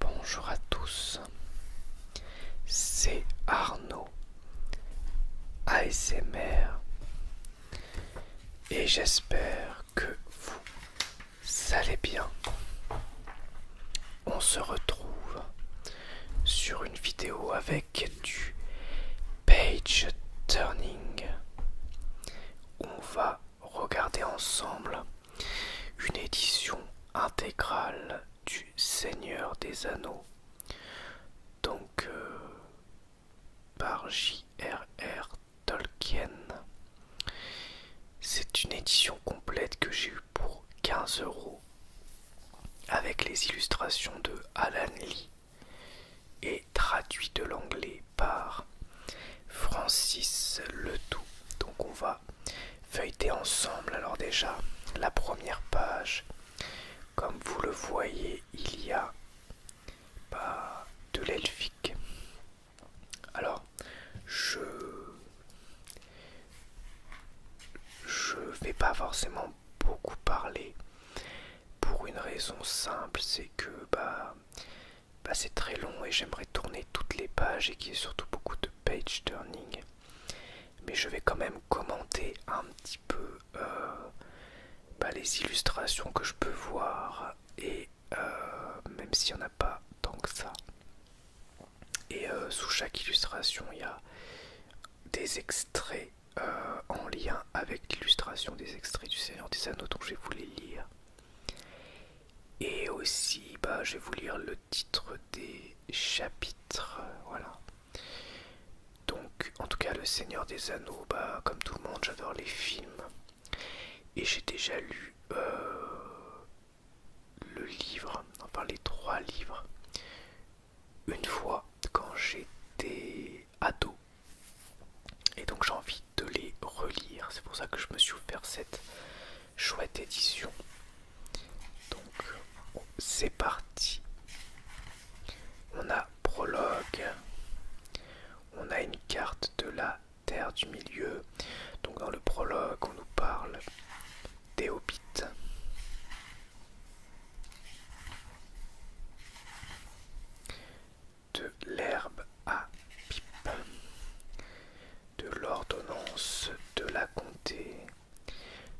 Bonjour à tous, c'est Arnaud ASMR et j'espère que vous allez bien. On se retrouve sur une vidéo avec du page turning. On va regarder ensemble une édition intégrale du Seigneur des Anneaux. Donc euh, par J.R.R. Tolkien. C'est une édition complète que j'ai eu pour 15 euros avec les illustrations de Alan Lee et traduit de l'anglais par Francis Letout. Donc on va feuilleter ensemble. Alors déjà, la première page, comme vous le voyez, il y a bah, de l'elfique. Alors, je je vais pas forcément beaucoup parler pour une raison simple c'est que bah, bah, c'est très long et j'aimerais tourner toutes les pages et qu'il y ait surtout beaucoup de page turning mais je vais quand même commenter un petit peu euh, bah, les illustrations que je peux voir et euh, même s'il n'y en a pas tant que ça et euh, sous chaque illustration, il y a des extraits euh, en lien avec l'illustration des extraits du Seigneur des Anneaux dont je vais vous les lire. Et aussi, bah, je vais vous lire le titre des chapitres. Voilà. Donc, en tout cas, le Seigneur des Anneaux, bah, comme tout le monde, j'adore les films. Et j'ai déjà lu euh, le livre, enfin les trois livres une fois quand j'étais ado. Et donc j'ai envie de les relire. C'est pour ça que je me suis offert cette chouette édition. Donc c'est parti. On a prologue. On a une carte de la Terre du Milieu. Donc dans le prologue, on nous parle des hobbits de l'herbe à pipe, de l'ordonnance de la comté,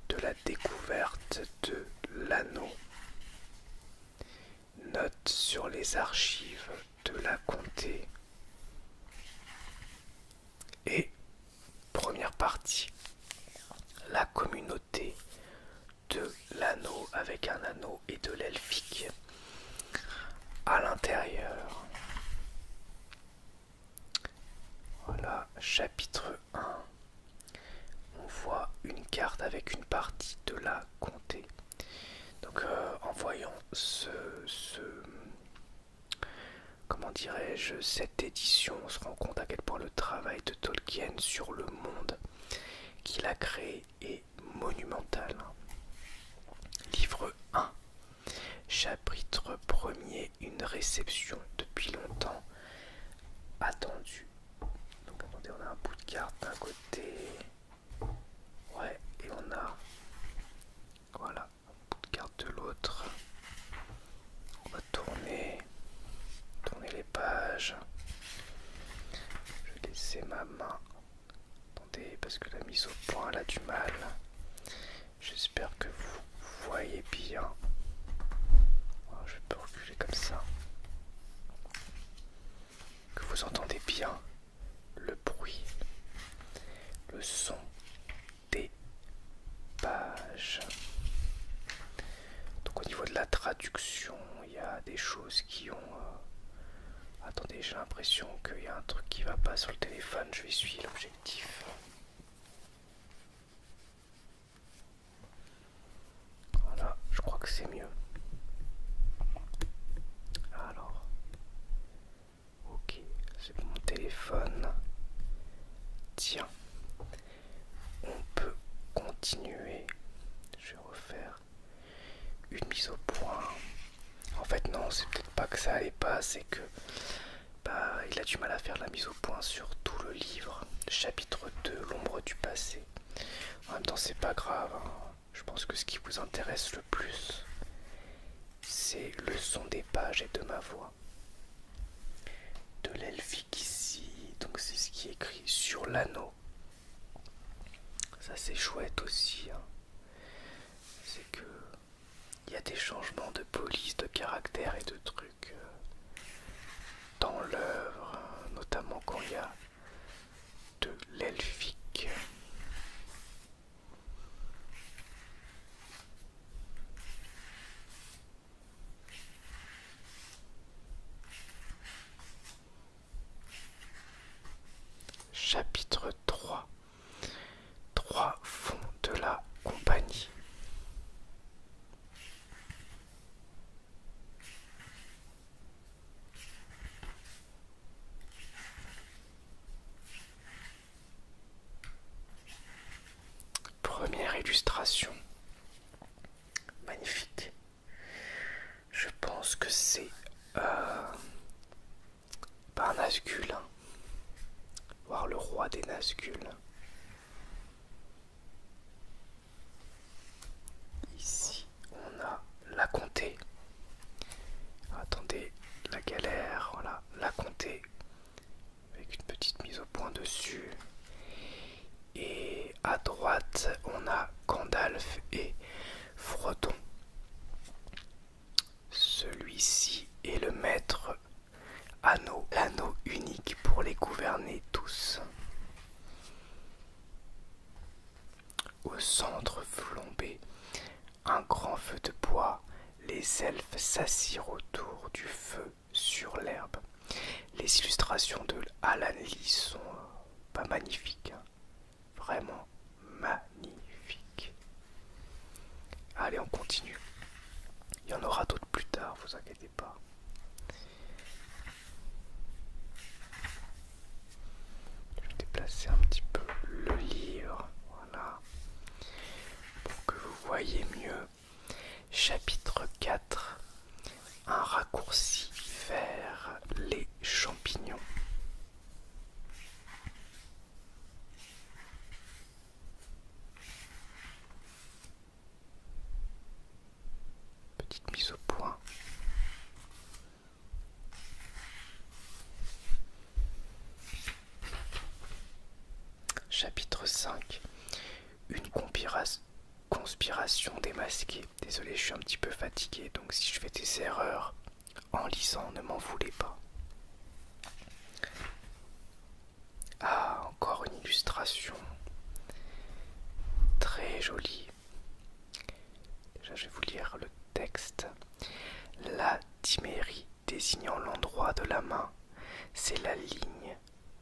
de la découverte de l'anneau, note sur les archives de la comté, et première partie, la communauté de l'anneau avec un anneau et de l'elfique. À l'intérieur. Voilà, chapitre 1. On voit une carte avec une partie de la comté. Donc euh, en voyant ce, comment dirais-je, cette édition, on se rend compte à quel point le travail de Tolkien sur le monde qu'il a créé est monumental. Hein. Livre 1, chapitre 1er, une réception depuis longtemps attendue. Donc attendez, on a un bout de carte d'un côté, ouais, et on a, voilà, un bout de carte de l'autre. On va tourner, tourner les pages. Je vais laisser ma main. Attendez, parce que la mise au point elle a du mal. J'espère que vous voyez bien. Ah, je peux reculer comme ça. Que vous entendez bien le bruit, le son des pages. Donc au niveau de la traduction, il y a des choses qui ont... Euh, attendez, j'ai l'impression qu'il y a un truc qui va pas sur le téléphone, je vais suivre l'objectif. Voilà, je crois que c'est mieux. Alors, ok, c'est mon téléphone. Tiens, on peut continuer. Je vais refaire une mise au point. En fait, non, c'est peut-être pas que ça allait pas, c'est que bah, il a du mal à faire la mise au point sur tout le livre, chapitre 2, l'ombre du passé. En même temps, c'est pas grave. Hein. Je pense que ce qui vous intéresse le plus, c'est le son des pages et de ma voix. De l'elfique ici, donc c'est ce qui est écrit sur l'anneau. Ça c'est chouette aussi. Hein. C'est que il y a des changements de police, de caractère et de trucs euh, dans l'œuvre, hein, notamment quand il y a de l'elfique. Chapitre 3 Trois fonds de la compagnie. Première illustration. Magnifique. Je pense que c'est euh, hein. Voir le roi des Nazgul. Ici, on a la comté. Attendez, la galère, voilà, la comté avec une petite mise au point dessus. Et à droite, on a Gandalf et Frodon. Celui-ci est le maître anneau, l'anneau unique pour les gouverner tous. Au centre flambé, un grand feu de bois. Les elfes s'assirent autour du feu sur l'herbe. Les illustrations de Alan Lee sont euh, pas magnifiques, hein. vraiment magnifiques. Allez, on continue. Il y en aura d'autres plus tard, vous inquiétez pas. Je vais déplacer un petit peu le livre, voilà, pour que vous voyez mieux. Chapitre 4 Un raccourci vers les champignons. Petite mise au point. Chapitre 5 Une conspiration démasquée. Désolé, je suis un petit peu fatigué, donc si je fais des erreurs en lisant, ne m'en voulez pas. Ah, encore une illustration. Très jolie. Déjà, je vais vous lire le texte. La timérie désignant l'endroit de la main c'est la ligne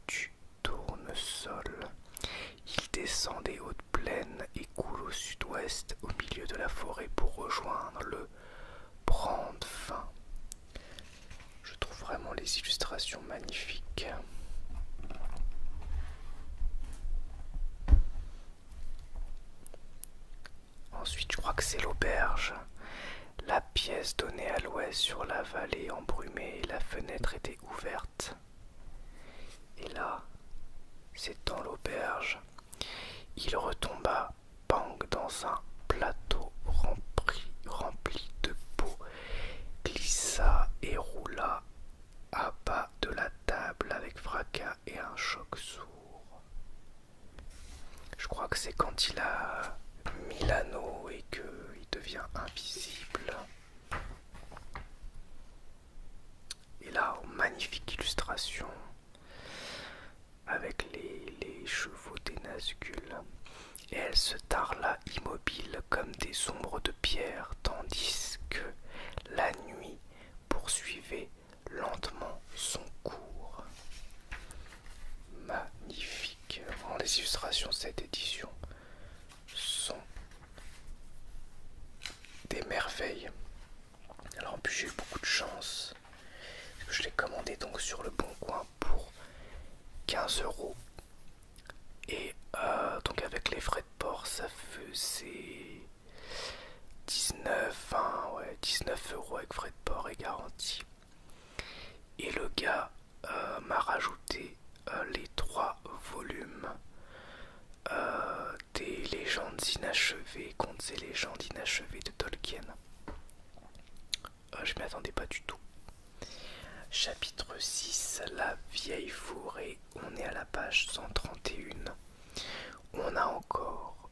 du tournesol. Il descend des hautes plaines et coule au sud-ouest au milieu de la forêt pour rejoindre le fin. Je trouve vraiment les illustrations magnifiques. Ensuite, je crois que c'est l'auberge. La pièce donnait à l'ouest sur la vallée embrumée et la fenêtre était ouverte. Et là, c'est dans l'auberge. Il retomba, bang, dans un plateau rempli, rempli de peau, glissa et roula à bas de la table avec fracas et un choc sourd. Je crois que c'est quand il a mis l'anneau et qu'il devient invisible. Et là, oh, magnifique illustration avec les, chevaux des Nascules. Et elle se tarla immobile comme des ombres de pierre, tandis que la nuit poursuivait lentement son cours magnifique. les illustrations de cette édition sont des merveilles. Alors en plus j'ai eu beaucoup de chance. je l'ai commandé donc sur le bon coin pour 15 euros. Et euh, donc avec les frais de port ça faisait 19, hein, ouais, 19 euros avec frais de port et garantie. Et le gars euh, m'a rajouté euh, les trois volumes euh, des légendes inachevées contre et légendes inachevées de Tolkien. je m'y attendais pas du tout. Chapitre 6, la vieille forêt. On est à la page 131. On a encore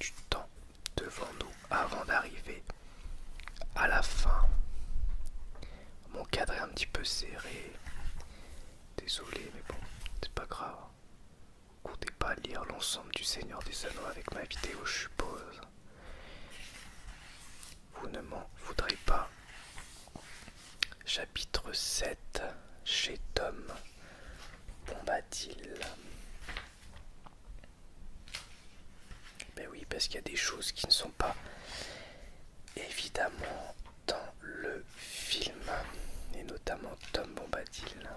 du temps devant nous avant d'arriver à la fin. Mon cadre est un petit peu serré. Désolé, mais bon, c'est pas grave. Vous comptez pas lire l'ensemble du Seigneur des Anneaux avec ma vidéo, je suppose. Vous ne m'en voudrez pas. Chapitre 7 chez Tom Bombadil. Ben oui, parce qu'il y a des choses qui ne sont pas évidemment dans le film, et notamment Tom Bombadil.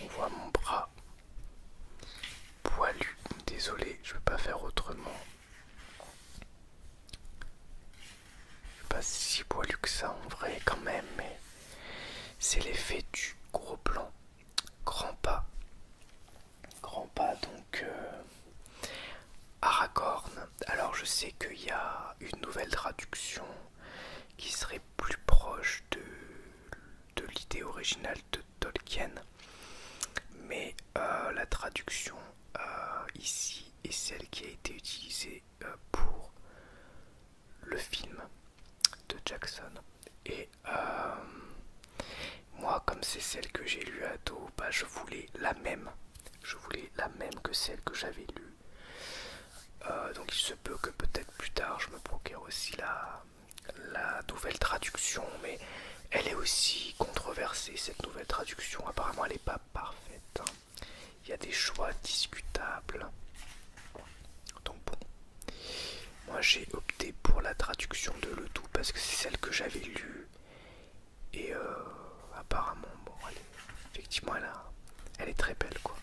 On voit mon bras poilu. Désolé, je ne peux pas faire autrement. Je suis pas si poilu que ça en vrai quand même, mais c'est l'effet du gros plan, grand pas, Grand pas donc à euh, Aragorn. Alors je sais qu'il y a une nouvelle traduction qui serait plus proche de, l'idée originale de Tolkien, mais euh, la traduction euh, ici est celle qui a été utilisée pour le film de Jackson. Et euh, moi, comme c'est celle que j'ai lue à dos, bah, je voulais la même. Je voulais la même que celle que j'avais lue. Euh, donc il se peut que peut-être plus tard je me procure aussi la, nouvelle traduction, mais elle est aussi controversée cette nouvelle traduction. Apparemment elle n'est pas parfaite. Hein. Il y a des choix discutables. Donc bon, moi j'ai opté pour la traduction de Le Tout parce que c'est celle que j'avais lue. Et euh, apparemment, bon, allez effectivement, elle, elle est très belle quoi.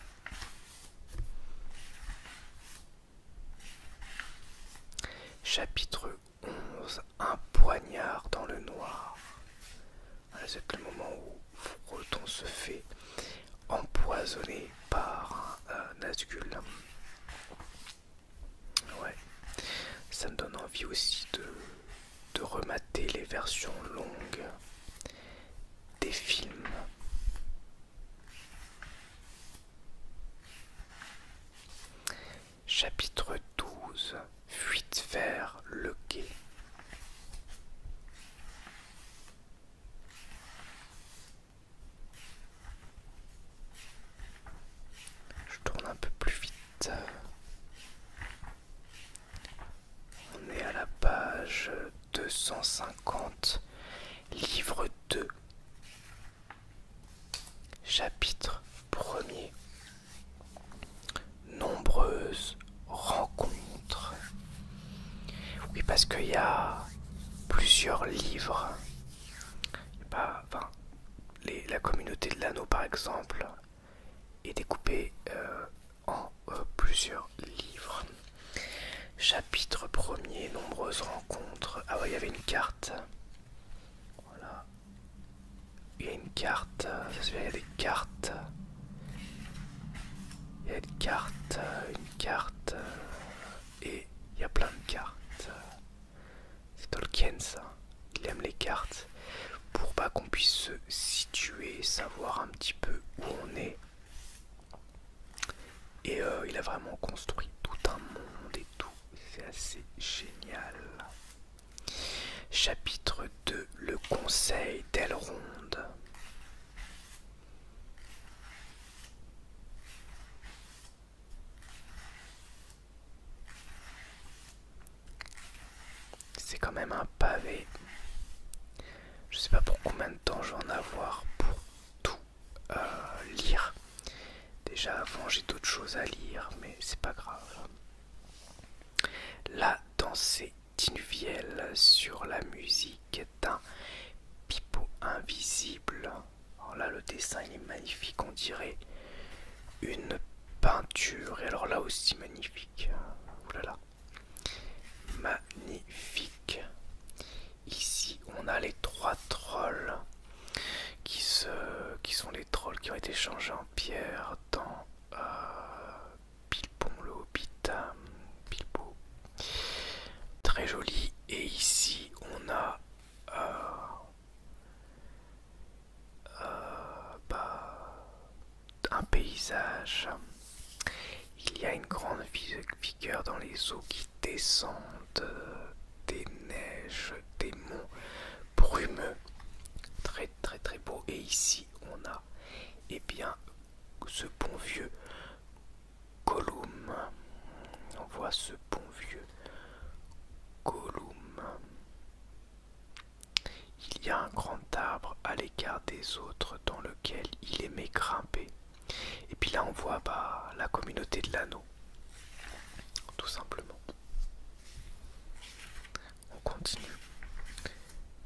Chapitre 11 Un poignard dans le noir. c'est le moment où Froton se fait empoisonner par euh, Nazgul Ouais, ça me donne envie aussi de, de remater les versions longues des films. Chapitre 12 Fuite vers le quai. Je tourne un peu plus vite. On est à la page 250, livre 2, chapitre 1 Nombreuses rencontres. Oui, parce qu'il y a plusieurs livres enfin, la communauté de l'anneau par exemple est découpée euh, en euh, plusieurs livres. Chapitre premier, nombreuses rencontres. Ah ouais, il y avait une carte. Voilà. Il y a une carte. Euh, il y a des cartes. Il y a une carte, une carte, et il y a plein de cartes. C'est Tolkien ça, il aime les cartes pour pas qu'on puisse se situer, savoir un petit peu où on est. Et euh, il a vraiment construit tout un monde et tout, c'est assez génial. Chapitre 2 Le conseil d'Elrond. C'est quand même un pavé. Je sais pas pour combien de temps je vais en avoir pour tout euh, lire. Déjà avant j'ai d'autres choses à lire, mais c'est pas grave. La danse dinuvielle sur la musique un pipeau invisible. Alors là, le dessin est magnifique, on dirait une peinture. Et alors là aussi magnifique. là Magnifique. Ici, on a les trois trolls qui, sont les trolls qui ont été changés en pierre dans Pipon euh, Bilbon le Hobbit. Très joli. Et ici, on a euh, euh, bah, un paysage. Il y a une grande vigueur dans les eaux qui descendent des neiges, des monts brumeux. Très très très beau. Et ici on a et eh bien ce bon vieux Gollum. On voit ce bon vieux Gollum. Il y a un grand arbre à l'écart des autres dans lequel il aimait grimper. Et puis là on voit bah, la communauté de l'anneau. Tout simplement. On continue.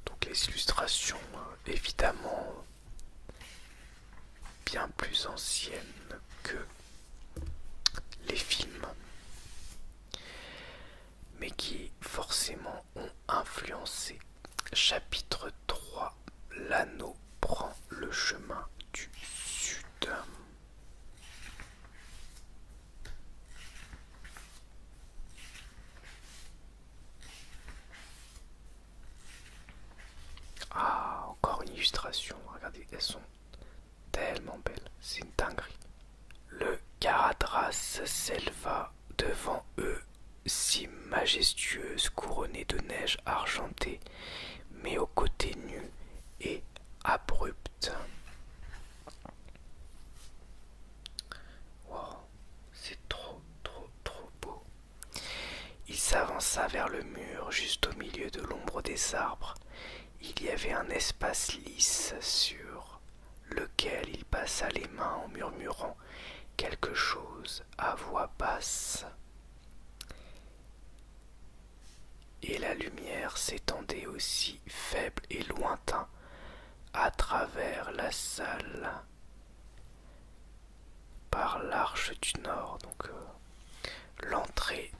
Donc les illustrations, hein, évidemment, bien plus ancienne que les films, mais qui forcément ont influencé. Chapitre 3 L'anneau prend le chemin du sud. Ah, encore une illustration. Regardez, elles sont tellement belles. C'est une dinguerie. Le Caradras s'éleva devant eux, si majestueuse, couronnée de neige argentée, mais aux côtés nu et abrupt. Wow, c'est trop, trop, trop beau. Il s'avança vers le mur juste au milieu de l'ombre des arbres. Il y avait un espace lisse sur lequel il passa les mains en murmurant quelque chose à voix basse. Et la lumière s'étendait aussi faible et lointain à travers la salle par l'arche du nord, donc euh, l'entrée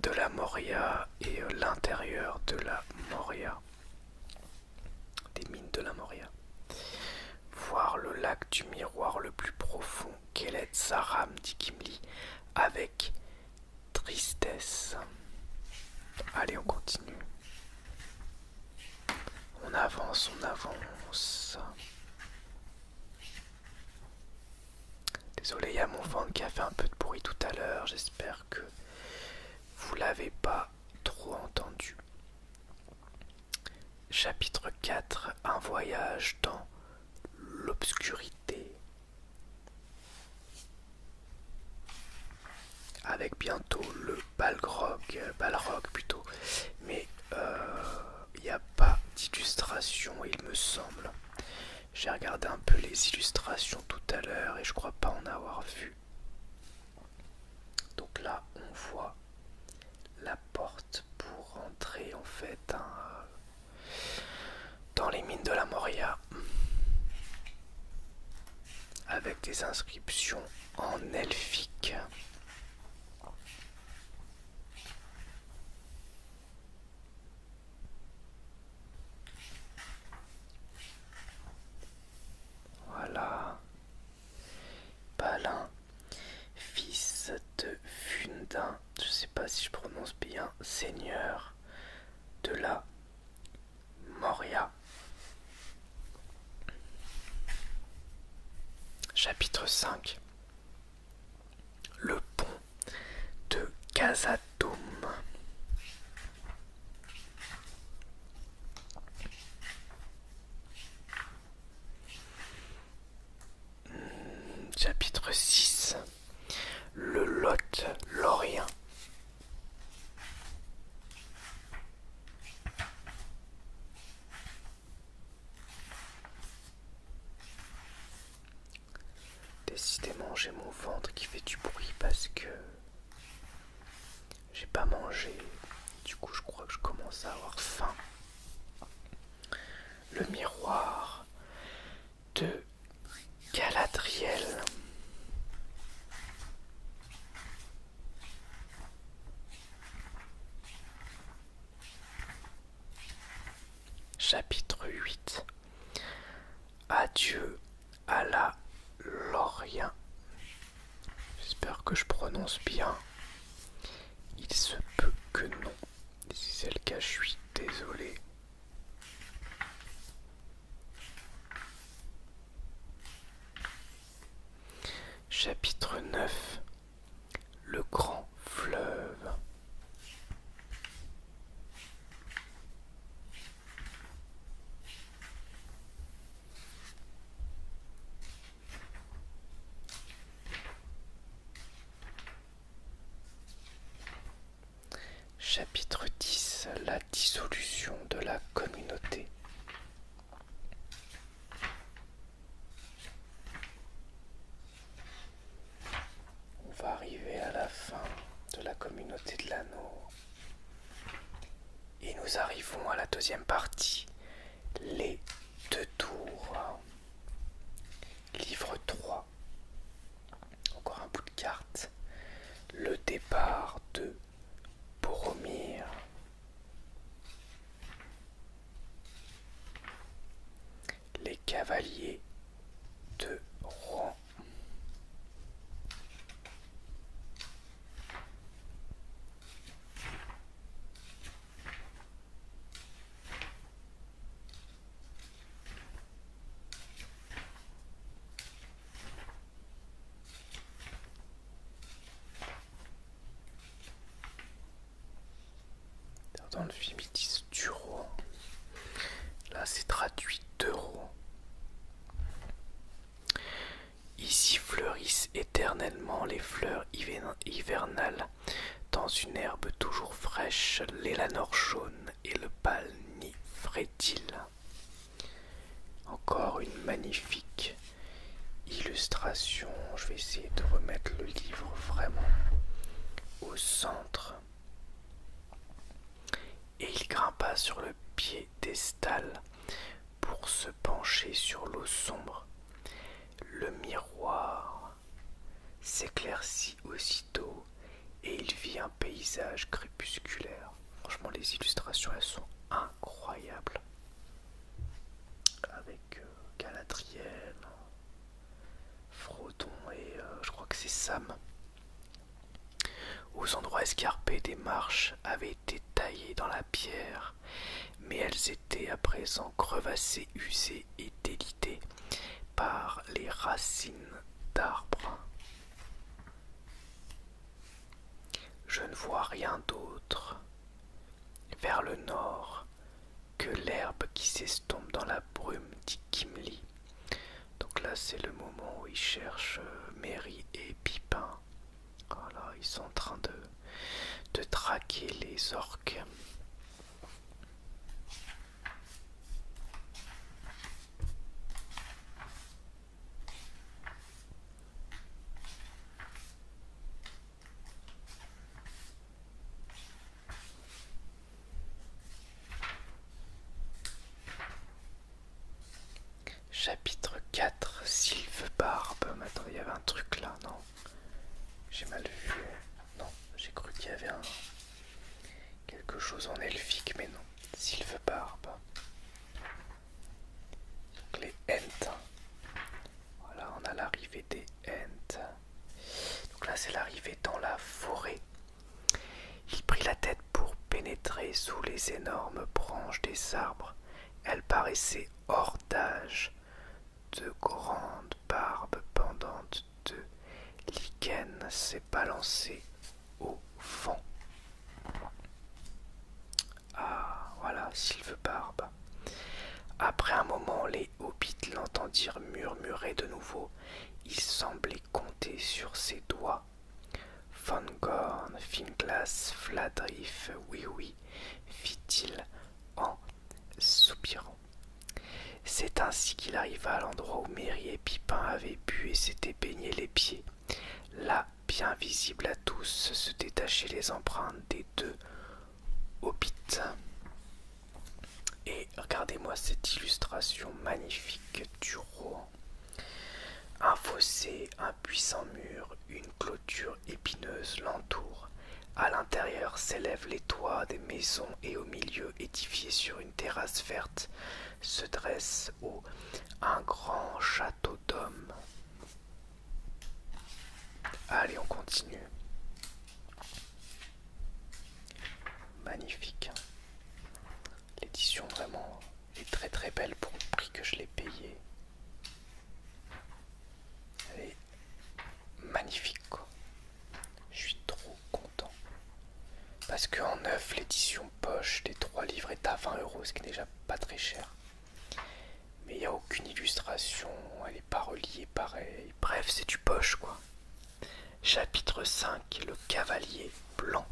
de la Moria et euh, l'intérieur de la Moria, des mines de la Moria. Voir le lac du miroir le plus profond sa Saram, dit Kimli, avec tristesse. Allez, on continue. On avance, on avance. Désolé, il y a mon ventre qui a fait un peu de bruit tout à l'heure. J'espère que vous l'avez pas trop entendu. Chapitre 4 Un voyage dans l'obscurité. Avec bientôt le Balrog, Balrog plutôt, mais euh, il n'y a pas d'illustration, il me semble. J'ai regardé un peu les illustrations tout à l'heure et je crois pas en avoir vu. Donc là, on voit la porte pour rentrer en fait hein, dans les mines de la Moria avec des inscriptions en elfique. Voilà. Palin, fils de Fundin, je sais pas si je prononce bien, seigneur de la Moria. Chapitre 5 le pont de Casatome hmm, Chapitre 6 Le Lot Lorient. Décidément, j'ai mon ventre qui fait du bruit parce que j'ai pas mangé. Du coup, je crois que je commence à avoir faim. Le miroir de Galadriel. Chapitre 8 Adieu à la Lorien. J'espère que je prononce bien. Il se peut que non. si c'est le cas, je suis désolé. Chapitre 9 le grand fleuve. Chapitre 10 La dissolution de la communauté on va arriver à la fin de la communauté de l'anneau. Et nous arrivons à la deuxième partie, les deux tours. Livre 3. Encore un bout de carte. Le départ de Boromir. Les cavaliers de Rouen. Dans le film, duro Là, c'est traduit d'euros. Ici fleurissent éternellement les fleurs hivernales. Dans une herbe toujours fraîche, l'élanor jaune et le palnifrétile. Encore une magnifique illustration. Je vais essayer de remettre le livre vraiment au centre. Et il grimpa sur le pied d'estal pour se pencher sur l'eau sombre. Le miroir s'éclaircit aussitôt et il vit un paysage crépusculaire. Franchement, les illustrations, elles sont incroyables. Avec euh, Galadriel, Frodon et euh, je crois que c'est Sam. Aux endroits escarpés des marches avaient été taillées dans la pierre, mais elles étaient à présent crevassées, usées et délitées par les racines d'arbres. Je ne vois rien d'autre. Vers le nord, que l'herbe qui s'estompe dans la brume, dit Kimli. Donc là, c'est le moment où ils cherchent euh, Mary et Pipin. Voilà, oh ils sont en train de traquer les orques. Chapitre 4 Sylve Barbe. il y avait un truc là, non J'ai mal vu. Non, j'ai cru qu'il y avait un. quelque chose en elfique, mais non. Sylve Barbe. les voilà, on a l'arrivée des Ents. Donc là, c'est l'arrivée dans la forêt. Il prit la tête pour pénétrer sous les énormes branches des arbres. Elles paraissaient hors d'âge. De grandes barbes pendantes de lichens s'est balancé au fond Ah, voilà, Sylve Barbe. Après un moment, les hobbits l'entendirent murmurer de nouveau. Il semblait compter sur ses doigts. Fangorn, Finglas, fladriffe, oui oui, fit-il en soupirant. C'est ainsi qu'il arriva à l'endroit où Mary et Pipin avaient bu et s'étaient baignés les pieds. Là, bien visibles à tous, se détachaient les empreintes des deux Hobbit. Et regardez-moi cette illustration magnifique du roi Un fossé, un puissant mur, une clôture épineuse l'entoure. À l'intérieur s'élèvent les toits des maisons et au milieu, édifié sur une terrasse verte, se dresse au un grand château d'hommes. Allez, on continue. Magnifique. L'édition vraiment est très très belle pour le prix que je l'ai payé. Elle est magnifique Je suis trop content. Parce qu'en neuf, l'édition poche des trois livres est à 20€, euros, ce qui n'est déjà pas très cher. Mais il n'y a aucune illustration, elle n'est pas reliée pareil. Bref, c'est du poche quoi. Chapitre 5 Le cavalier blanc.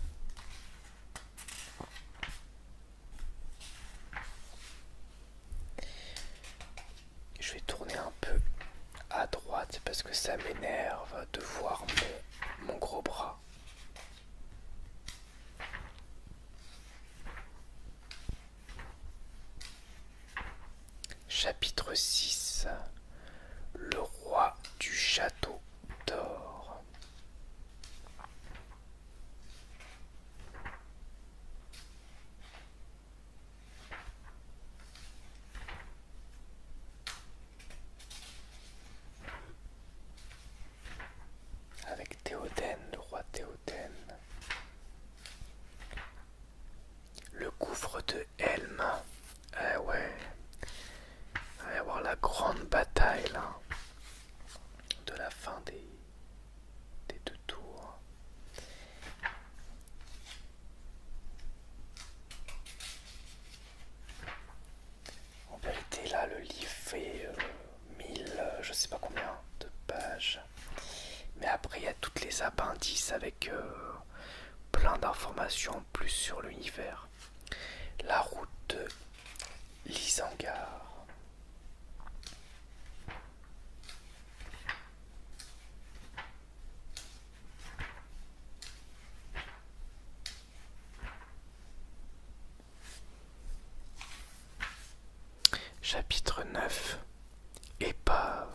Je vais tourner un peu à droite parce que ça m'énerve de voir mon gros bras. Chapitre 6 Le roi du château d'or Avec Théoden, le roi Théoden. Le gouffre de Helm. Eh ouais. va y avoir la grande bataille De la fin des, deux tours. En vérité là le livre fait euh, mille, 1000, euh, je sais pas combien de pages. Mais après, il y a toutes les appendices avec euh, plein d'informations plus sur l'univers. La route de Lisangar. Chapitre 9 Épave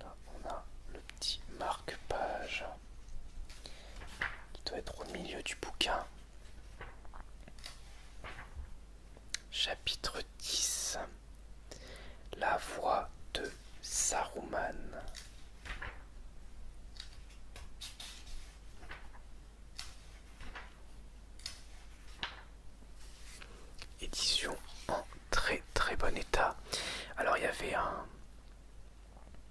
Là, on a le petit marque-page qui doit être au milieu du bouquin. Chapitre 10 La voix de Saruman Édition en très très bon état. Alors il y avait un,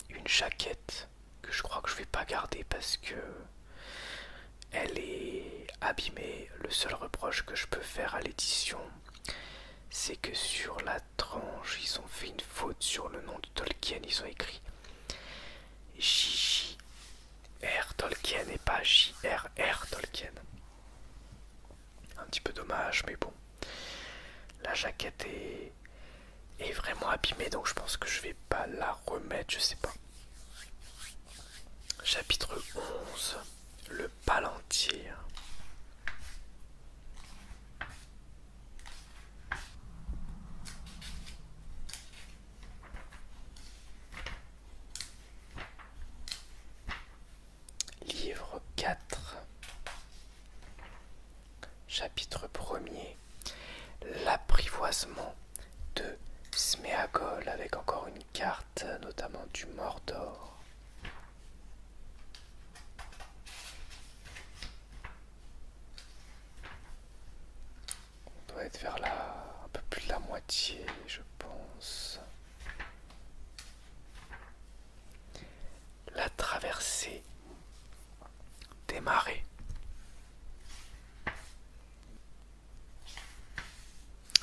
une jaquette que je crois que je vais pas garder parce que elle est abîmée. Le seul reproche que je peux faire à l'édition c'est que sur la tranche, ils ont fait une faute sur le nom de Tolkien. Ils ont écrit J.J.R. Tolkien et pas J.R.R. Tolkien. Un petit peu dommage, mais bon. La jaquette est, vraiment abîmée, donc je pense que je vais pas la remettre, je sais pas. Chapitre 11 Livre 4 Chapitre 1er L'apprivoisement de Smeagol avec encore une carte notamment du Mordor. On doit être vers là, un peu plus de la moitié, je pense. La traversée des marées.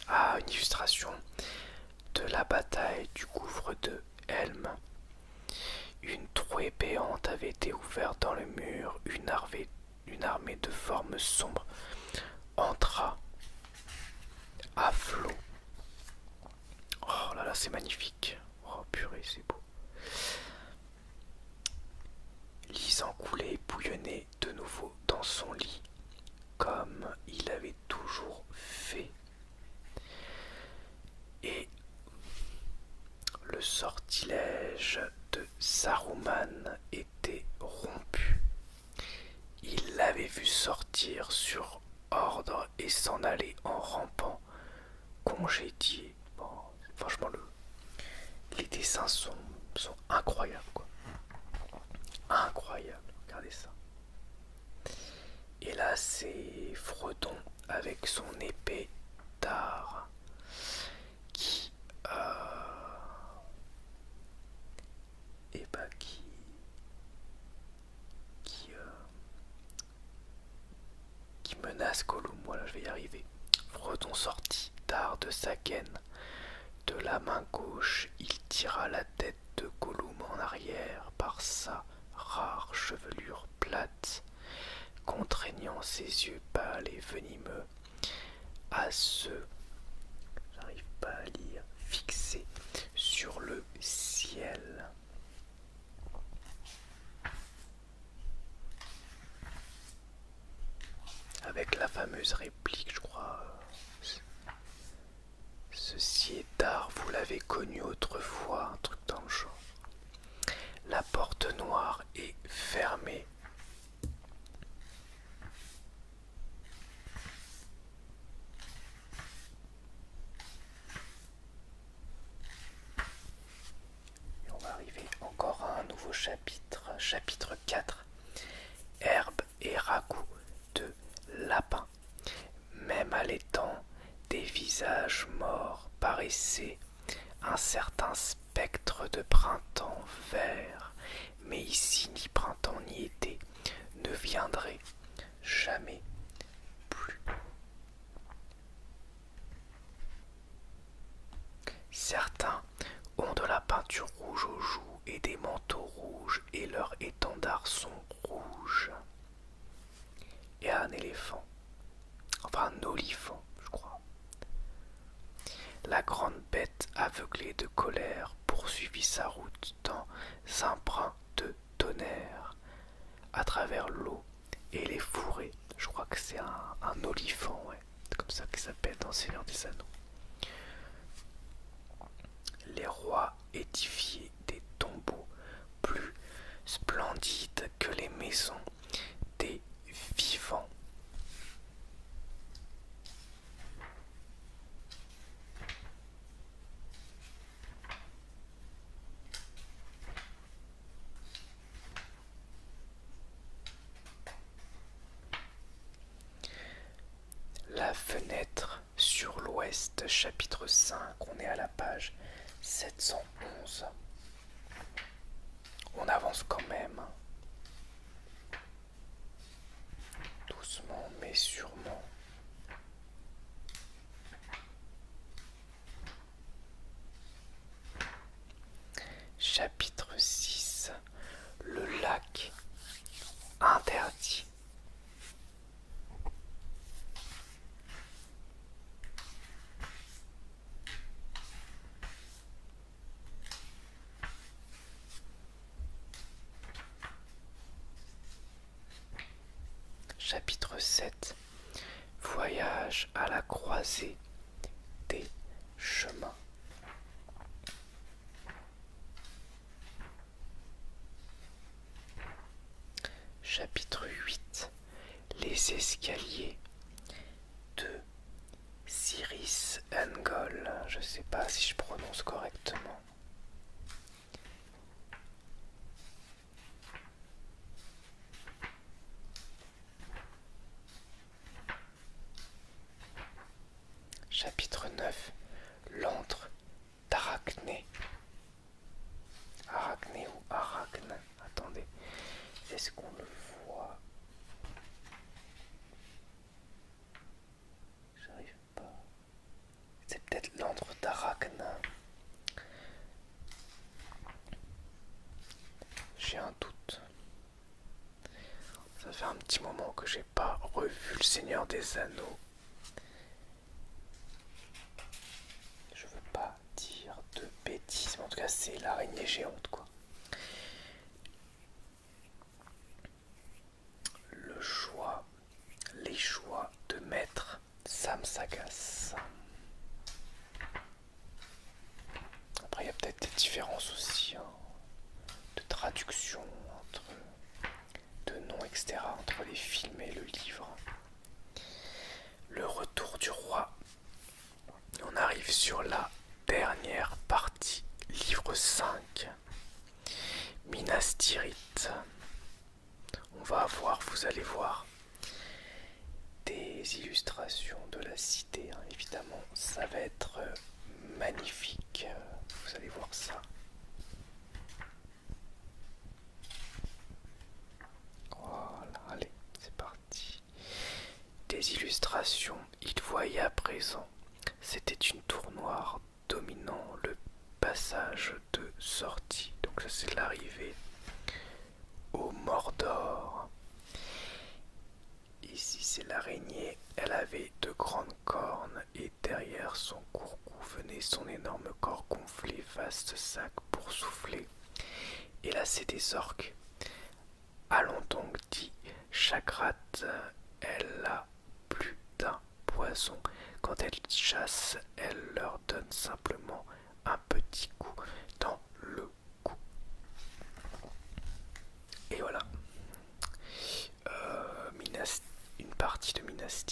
Ah, une illustration de la bataille du gouffre de Helm. Une trouée béante avait été ouverte dans le mur, une armée, de formes sombres entra à flot. Oh là là, c'est magnifique. Oh purée, c'est beau. Lisant coulée, bouillonnée de nouveau dans son lit, comme il avait toujours fait. Et le sortilège de Saruman était rompu. Il l'avait vu sortir sur ordre et s'en aller en rampant, congédié. franchement, le, les dessins sont, incroyables, quoi. regardez ça. Et là, c'est Fredon avec son épée tard qui, bah qui, qui, euh, qui menace Gollum. Voilà, je vais y arriver. Fredon sorti tard de sa de la main gauche, il tira la tête de Gollum en arrière par sa rare chevelure plate, contraignant ses yeux pâles et venimeux à se j'arrive pas à lire fixer sur le ciel. Avec la fameuse réplique, je crois. Euh, Ceci est tard, vous l'avez connu autrefois, un truc dans le genre. La porte noire est fermée. Et on va arriver encore à un nouveau chapitre, chapitre 4. Herbe et ragoût de lapin. Même à l'étang, des visages morts paraissaient, un certain spectre de printemps vert, mais ici ni printemps ni été ne viendraient jamais plus. Certains ont de la peinture rouge aux joues et des manteaux rouges et leurs étendards sont rouges. Et un éléphant, enfin un olifant, je crois. La grande bête, aveuglée de colère, poursuivit sa route dans un brin de tonnerre, à travers l'eau et les fourrés. Je crois que c'est un, olifant, ouais. comme ça qu'il s'appelle dans Seigneur des Anneaux. Les rois édifiaient des tombeaux plus splendides que les maisons des vivants. La fenêtre sur l'ouest, chapitre 5, on est à la page 711. On avance quand même. Doucement mais sûrement. Chapitre 6 le lac interdit. Chapitre 7 Voyage à la croisée des chemins. Chapitre huit. Les escaliers de Cyrus Angol. Je ne sais pas si je prononce correctement. Chapitre 9 l'antre d'arachnée Arachné ou Arachne Attendez, est-ce qu'on le voit J'arrive pas. C'est peut-être l'antre d'Arachne. J'ai un doute. Ça fait un petit moment que j'ai pas revu le Seigneur des Anneaux. Je veux pas dire de bêtises, mais en tout cas c'est l'araignée géante quoi. Le choix, les choix de maître Sam Sagas. Après il y a peut-être des différences aussi hein, de traduction entre de nom, etc. entre les films et le livre. Le retour du roi. On arrive sur la dernière partie, livre 5. Minas On va avoir, vous allez voir, des illustrations de la cité. Hein, évidemment, ça va être euh, magnifique. Vous allez voir ça. allez, c'est parti. Des illustrations, il voyait à présent. C'était une tournoire dominant le passage de sortie. Donc ça c'est l'arrivée au Mordor. Ici c'est l'araignée. Elle avait de grandes cornes et derrière son court cou venait son énorme corps gonflé, vaste sac pour souffler. Et là, c'est des orques. Allons donc, dit Chagrate, elle a plus d'un poison. Quand elle chasse, elle leur donne simplement un petit coup dans le cou. Et voilà. Euh, une partie de Minas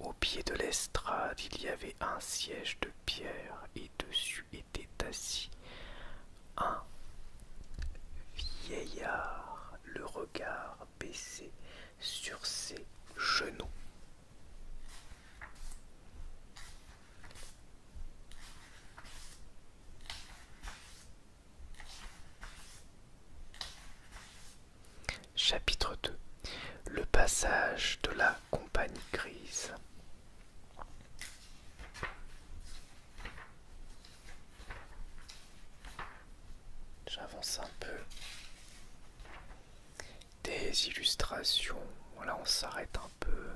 Au pied de l'estrade, il y avait un siège de pierre et dessus était assis un vieillard, le regard baissé sur ses genoux. Chapitre 2 Le passage de la compagnie grise. J'avance un peu. Des illustrations. Voilà, on s'arrête un peu.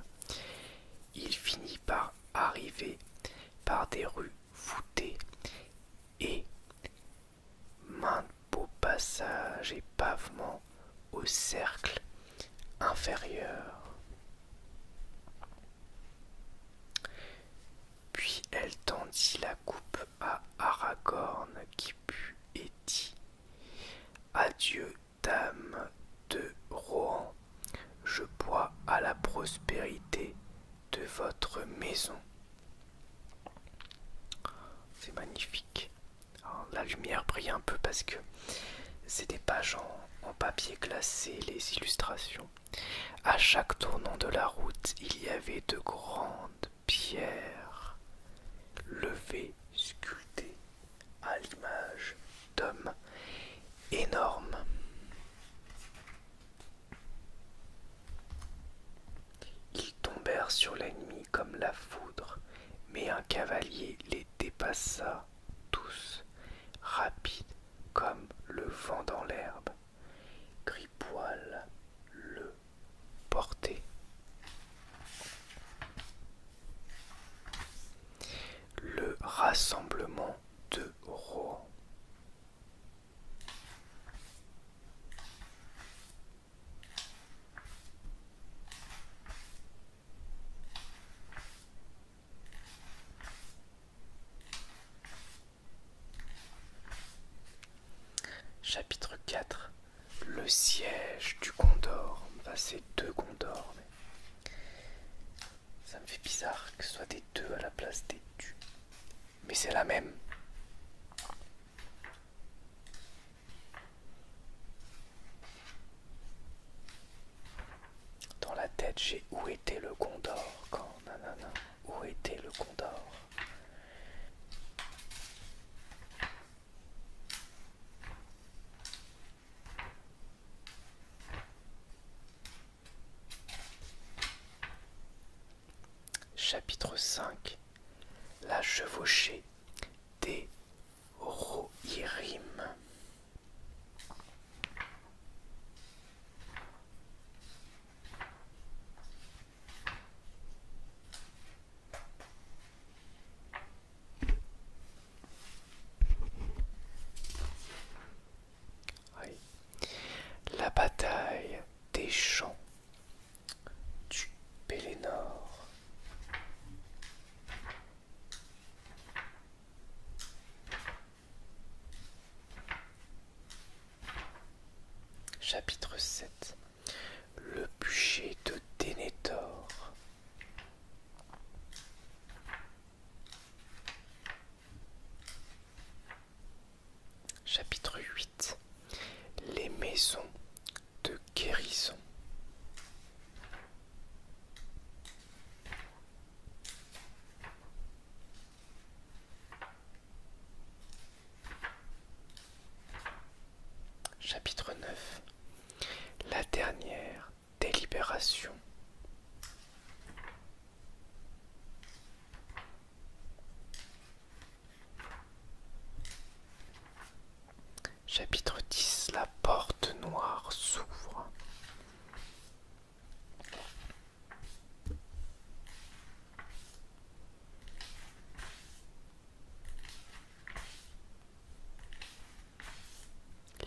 Il finit par arriver par des rues et de beau passage et pavement au cercle inférieur. Puis elle tendit la coupe à Aragorn qui put et dit Adieu, dame de Rohan, je bois à la prospérité de votre maison. C'est magnifique. Hein, la lumière brille un peu parce que c'est des pages en, en papier glacé, les illustrations. À chaque tournant de la route, il y avait de grandes pierres levées, sculptées à l'image d'hommes énormes. Ils tombèrent sur l'ennemi comme la foudre, mais un cavalier les dépassa tous, rapides comme le vent dans l'herbe. Gripoil le portait. Le rassemblement de Rohan. Chapitre 4 Le siège du Condor. c'est deux Condors. Ça me fait bizarre que ce soit des deux à la place des tu. Mais c'est la même. Dans la tête, j'ai où était le condor quand nanana. Où était le condor Chapitre 5 La chevauchée des Rohirrim. La bataille des champs du Pélénor. Chapitre 7 Le bûcher de Dénétor. Chapitre huit. Les maisons de guérison. Chapitre neuf. La dernière délibération. Chapitre 10 La porte noire s'ouvre.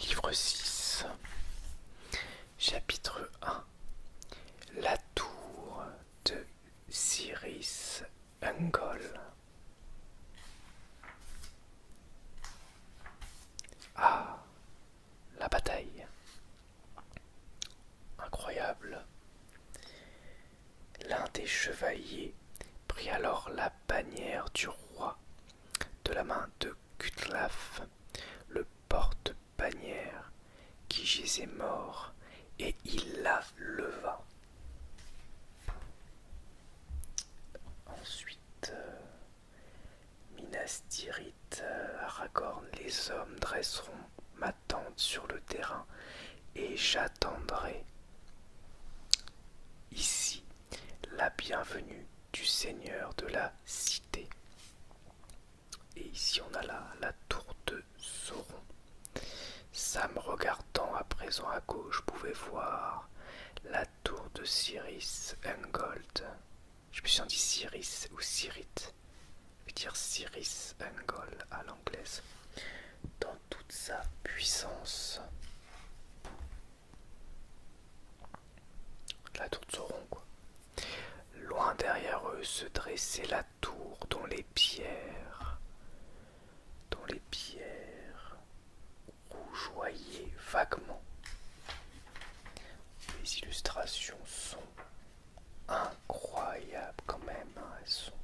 Livre 6, chapitre 1 La tour de Cyrus Ungol. Ah, la bataille. Incroyable. L'un des chevaliers prit alors la bannière du roi de la main de Cutlaf, le porte-bannière, qui gisait mort, et il la leva. Ensuite, euh, Minas euh, Aragorn, les hommes dresseront ma tente sur le terrain et j'attendrai ici la bienvenue du seigneur de la cité. Et ici on a la, la tour de Sauron. Sam regardant à présent à gauche pouvait voir la tour de Siris Ungold. Je me suis dit Siris ou Cyrite. Je vais dire Siris Ungold à l'anglaise. Dans toute sa puissance. La tour de Sauron quoi. Loin derrière eux se dressait la tour dont les pierres, dont les pierres rougeoyaient vaguement. Les illustrations sont incroyables quand même, hein, elles sont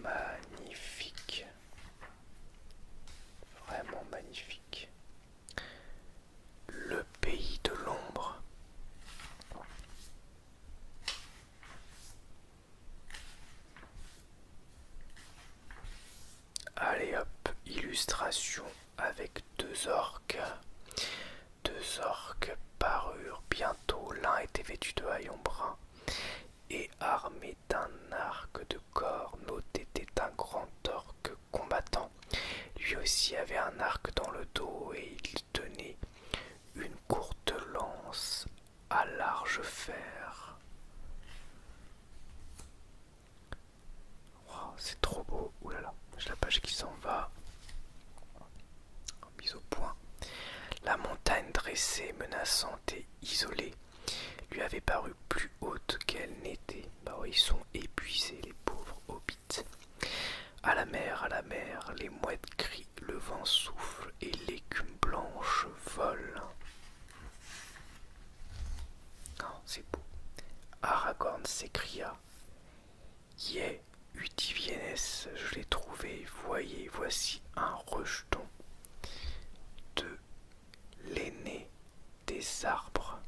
magnifiques, vraiment magnifiques. Le pays de l'ombre. Allez hop, illustration avec deux orques. Deux orques parurent bientôt. L'un était vêtu de haillons bruns et armé d'un arc de corps. L'autre était un grand orque combattant. Lui aussi avait un arc dans le dos et il tenait une courte lance à large fer. c'est trop beau. Oulala, là j'ai la page qui s'en va. Mise au point. La montagne dressée, menaçante et isolée lui avait paru plus haute qu'elle n'était. Bah ils sont épuisés, les pauvres hobbits. À la mer, à la mer, les mouettes crient, le vent souffle et l'écume blanche vole. non, ah, c'est beau. Aragorn s'écria. Yeah, Utiviennes, je l'ai trouvé. Voyez, voici un rejeton de l'aîné des arbres.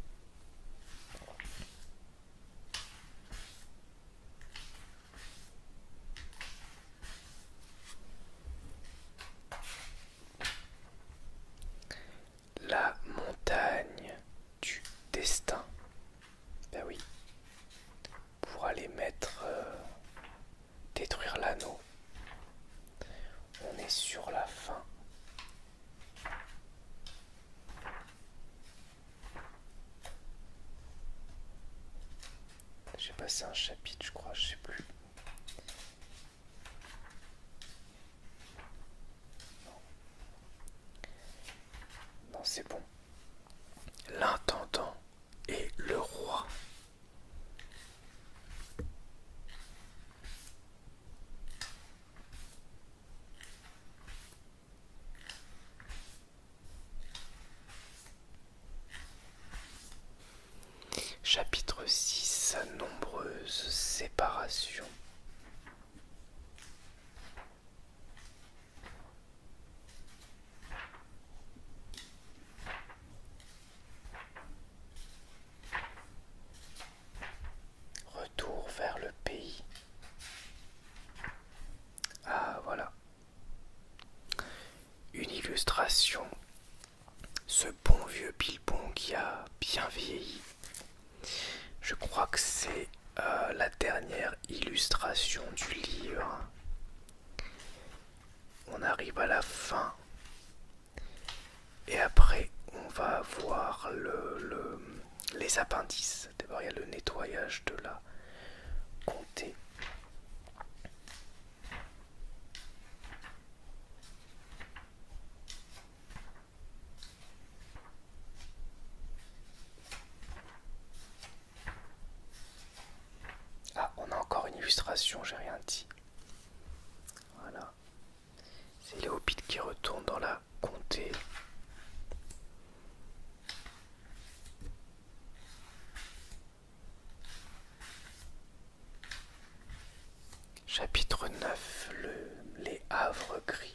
La montagne du destin. Ben oui. Pour aller mettre... Euh, détruire l'anneau. On est sur la fin j'ai passé un chapitre, je crois, je sais plus. Non, c'est bon. L'intendant et le roi. Chapitre 6 Nombreuses séparations Retour vers le pays. Ah voilà. Une illustration. Ce bon vieux Bilbon qui a bien vieilli. Je crois que c'est euh, la dernière illustration du livre. On arrive à la fin et après, on va voir le, les appendices. D'abord, il y a le nettoyage de la comté. Ah, on a encore une illustration, j'ai rien dit. Voilà. C'est Léopide qui retourne dans la comté. Chapitre 9 le, Les Havres Gris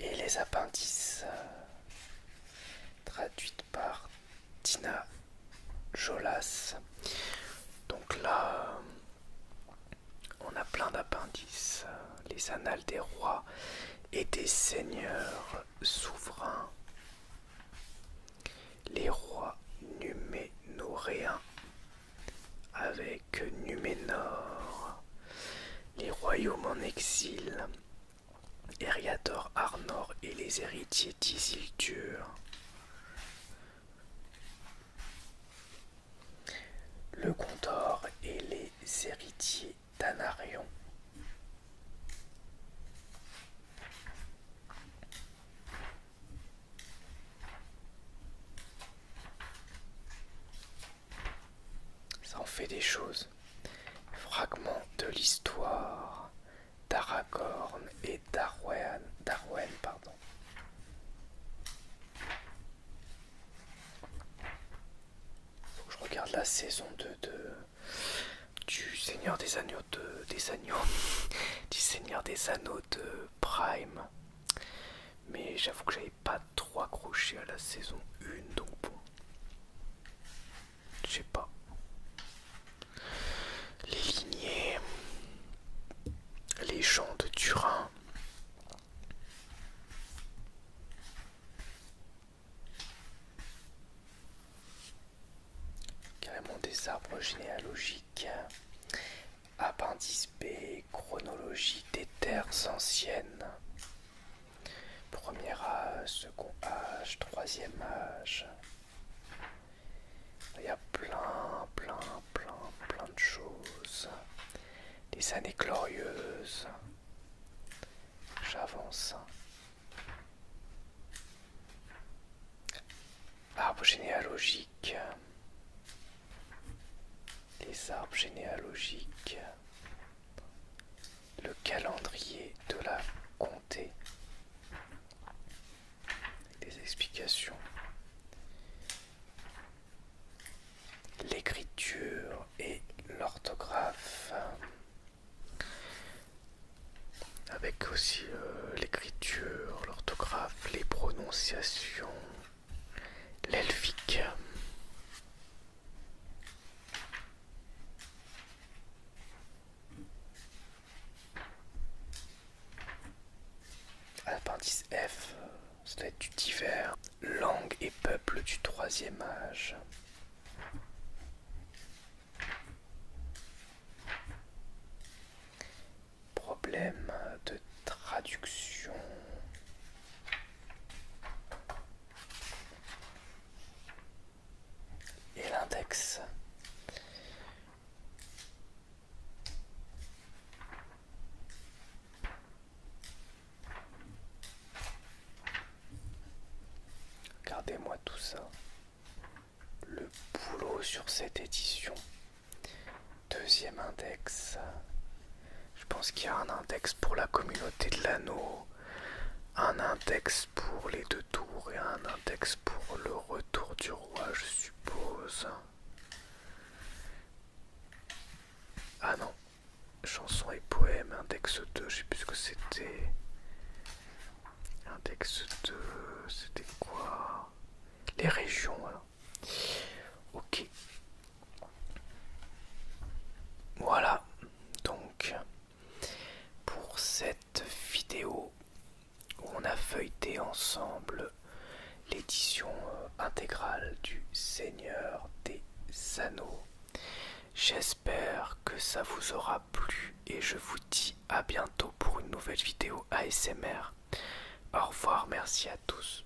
et les appendices euh, traduites par Tina Jolas. Donc là, on a plein d'appendices. Euh, les annales des rois et des seigneurs souverains. Les rois numénoréens avec que Numénor, les royaumes en exil, Eriador Arnor et les héritiers d'Isildur. Le Condor et les héritiers d'Anarion. Ça en fait des choses. Fragments de l'histoire d'Aragorn et d'Arwen. Darwen, pardon. je regarde la saison 2 de, du Seigneur des Agneaux de, des Agneaux. du Seigneur des Anneaux de Prime. Mais j'avoue que j'avais pas 3 crochets à la saison 1, donc bon. Je sais pas. Les lignées. Les gens de Turin. Carrément des arbres généalogiques. Appendice B, chronologie des terres anciennes. Premier âge, second âge, troisième âge. Il y a plein, plein, plein, plein de choses. Des années glorieuses. J'avance. Arbre généalogique. Les arbres généalogiques le calendrier de la comté, des explications, l'écriture et l'orthographe, avec aussi euh, l'écriture, l'orthographe, les prononciations l'elfique. Appendice F, C'est à du divers. Langue et peuple du troisième âge. Problème de traduction et l'index. gardez- moi tout ça. Le boulot sur cette édition. Deuxième index. Je pense qu'il y a un index pour la communauté de l'anneau, un index pour les deux tours et un index pour le retour du roi, je suppose. Ah non, chansons et poèmes, index 2, je sais plus ce que c'était. Index 2, c'était quoi Les régions, alors. Ok. Voilà. Donc, pour cette vidéo où on a feuilleté ensemble l'édition euh, intégrale du Seigneur des Anneaux, j'espère que ça vous aura plu et je vous dis à bientôt pour une nouvelle vidéo ASMR. Au revoir, merci à tous.